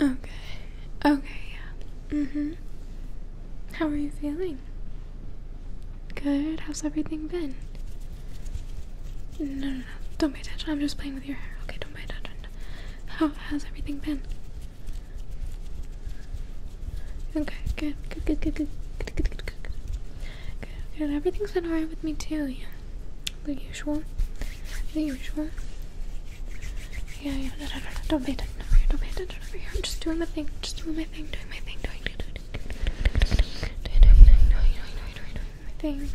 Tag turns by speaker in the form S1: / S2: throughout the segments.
S1: Okay. Okay, yeah. Mm-hmm. How are you feeling? Good? How's everything been? No, no, no. Don't pay attention. I'm just playing with your hair. Okay, don't pay attention. How has everything been? Okay, good, good, good, good, good, good, good, good, good, good. Good, good. Everything's been alright with me too, yeah. The usual. The usual. Yeah, yeah, no, no, no, Don't pay attention Don't pay attention over here. I'm just doing my thing. Just doing my thing. Doing my thing. Doing, doing, doing, doing, doing, doing, doing, doing, doing, doing, doing my thing.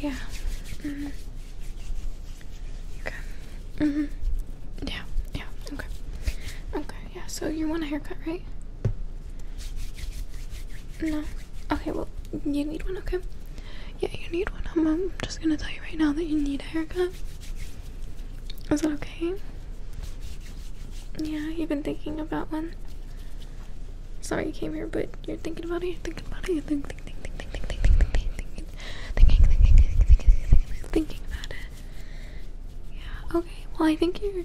S1: Yeah. Mm-hmm. Okay. Mm-hmm. Yeah. Yeah. Okay. Okay. Yeah. So you want a haircut, right? No. Okay. Well, you need one. Okay. Yeah, you need one. I'm, I'm just gonna tell you right now that you need a haircut. Is that okay? Yeah, you've been thinking about one. Sorry you came here, but you're thinking about it, you're thinking about it, you're thinking, thinking, thinking, thinking, thinking, thinking, thinking, thinking, thinking, thinking, thinking about it. Yeah, okay. Well, I think you're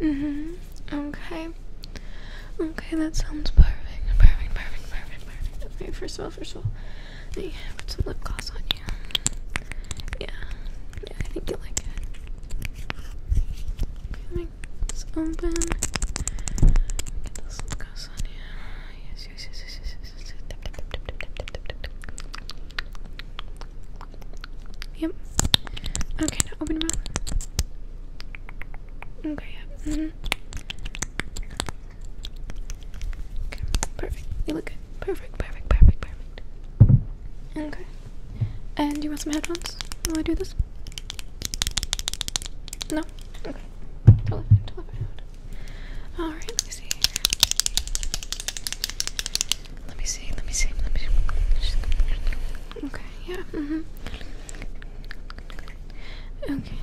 S1: hmm Okay. Okay, that sounds perfect. Perfect, perfect, perfect, perfect. Okay, first of all, first of all, let me put some lip gloss on you. Yeah. Yeah, I think you'll like it. Okay, open. Get this gloss on you. Yes, yes, yes, yes, yes, yes, yes. Tap, tap, tap, tap, tap, tap, tap, tap, tap. Yep. Okay, now open your mouth. Okay, yep. Mm-hmm. perfect. You look good. Perfect, perfect, perfect, perfect. Okay. And you want some headphones while I do this? No? Okay. Totally fine, totally fine. Alright, let me see let me see, let me see, let me see. Okay, yeah, mm-hmm. Okay.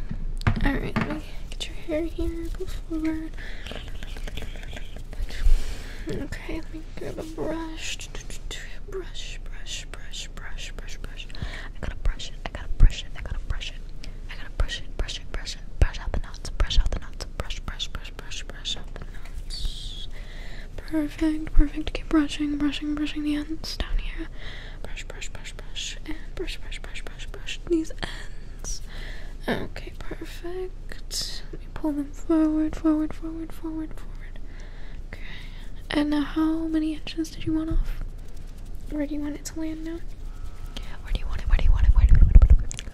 S1: Alright, let me get your hair here, go forward. Okay, let me grab a brush. Brush, brush, brush, brush, brush, brush. I gotta brush it, I gotta brush it, I gotta brush it. I gotta brush it, brush it, brush it, brush out the knots, brush out the knots, brush, brush, brush, brush, brush up the knots. Perfect, perfect. Keep brushing, brushing, brushing the ends down here. Brush, brush, brush, brush, and brush, brush, brush, brush, brush these ends. Okay, perfect. Let me pull them forward, forward, forward, forward, forward. Okay. And now, how many inches did you want off? Where do you want it to land now? Where do you want it? Where do you want it? Where do you want it?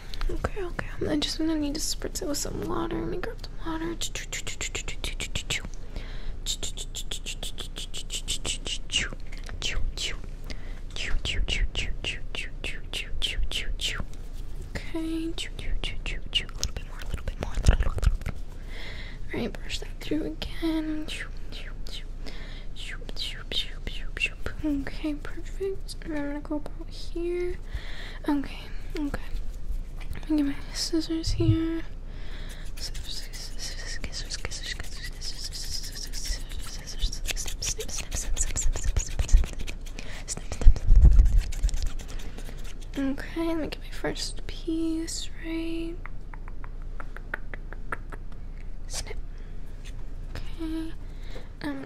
S1: okay, okay. I'm just gonna need to spritz it with some water. Let me grab some water. Okay. A little bit more, a little bit more, Alright, brush that through again. Okay, perfect. I'm gonna go about here. Okay, okay. Let me get my scissors here. Scissors, scissors, scissors, scissors, scissors, scissors, snip, snip, snip, snip, snip, snip, snip, snip, snip. Snip, snip, snip, snip, snip. Okay, let me get my first piece, right? Snip. Okay. I'm um,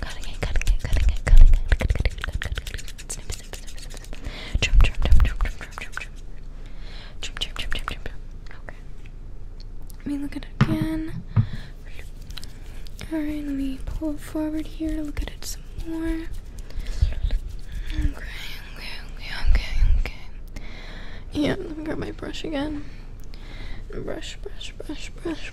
S1: Cutting it, cutting it, cutting it, cutting it, cutting it, cutting it, snip, snip, snip, snip, snip. Trim, trim, trim, Okay. Let me look at it again. Alright, let me pull it forward here, look at it some more. Okay, okay, okay, okay, Yeah, let me grab my brush again. Brush, brush, brush, brush,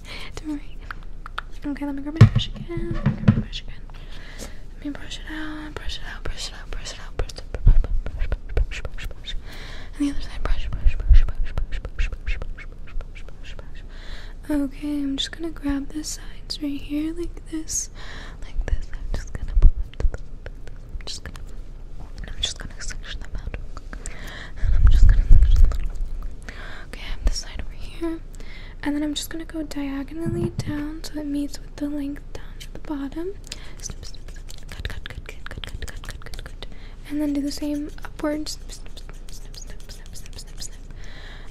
S1: worry, don't worry. Okay, let me grab my brush again. Let me grab my brush again. Let me brush it out, brush it out, brush it out, brush it out, brush it out, brush, brush, brush, brush, brush. And the other side, brush, brush, brush, brush, brush, brush, brush, brush, brush, brush, brush. Okay, I'm just gonna grab the sides right here, like this, like this. I'm just gonna pull up the, I'm just gonna, I'm just gonna section them out and okay, I have this side over here, and then I'm just gonna go diagonally down so it meets with the length down to the bottom. Snip, snip, snip. Cut, cut, cut, cut, cut, cut, cut, cut, cut, cut, and then do the same upwards. Snip, snip, snip, snip, snip, snip, snip, snip.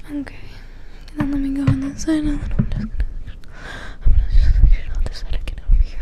S1: Okay, and then let me go on this side. And I'm just gonna, I'm gonna just get all this side again over here.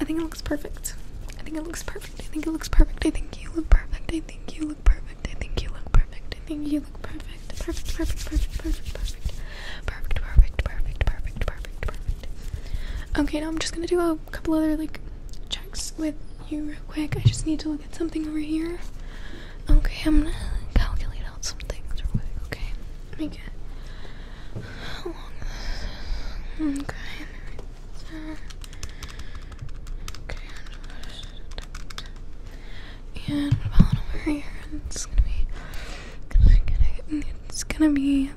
S1: I think it looks perfect. I think it looks perfect. I think it looks perfect. I think you look perfect. I think you look perfect. I think you look perfect. I think you look perfect. Perfect, perfect, perfect, perfect, perfect. Perfect, perfect, perfect, perfect, perfect, perfect. Okay, now I'm just gonna do a couple other like checks with you real quick. I just need to look at something over here. Okay, I'm gonna calculate out some things real quick, okay? Let me get how long is Okay. Okay, and about over here, it's gonna be, it's gonna, it's gonna be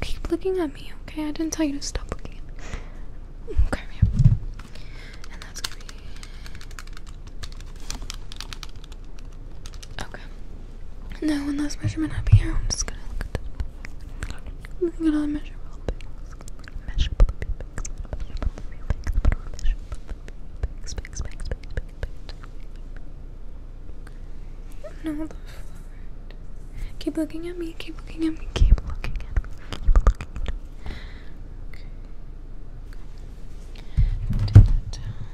S1: Keep looking at me, okay? I didn't tell you to stop looking at me. Okay, Okay. Now, one last measurement up here. I'm just gonna look at this. Look at all the measurable things. Measurable things. Measurable things. Measurable things. Measurable things. No, the flood. Keep looking at me. Keep looking at me. Keep looking at me. Keep looking at me. Okay. okay. Put that down.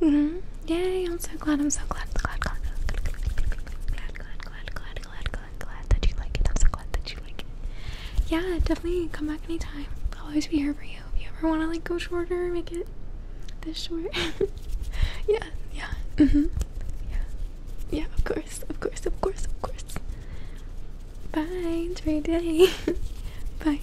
S1: mm Yay, I'm so glad, I'm so glad, glad, glad, glad, glad, glad, glad, glad, glad, glad, glad, glad that you like it. I'm so glad that you like it. Yeah, definitely come back anytime. I'll always be here for you. If you ever wanna like go shorter, make it this short. yeah, yeah. Mm-hmm. Yeah. Yeah, of course, of course, of course, of course. Bye, enjoy Bye.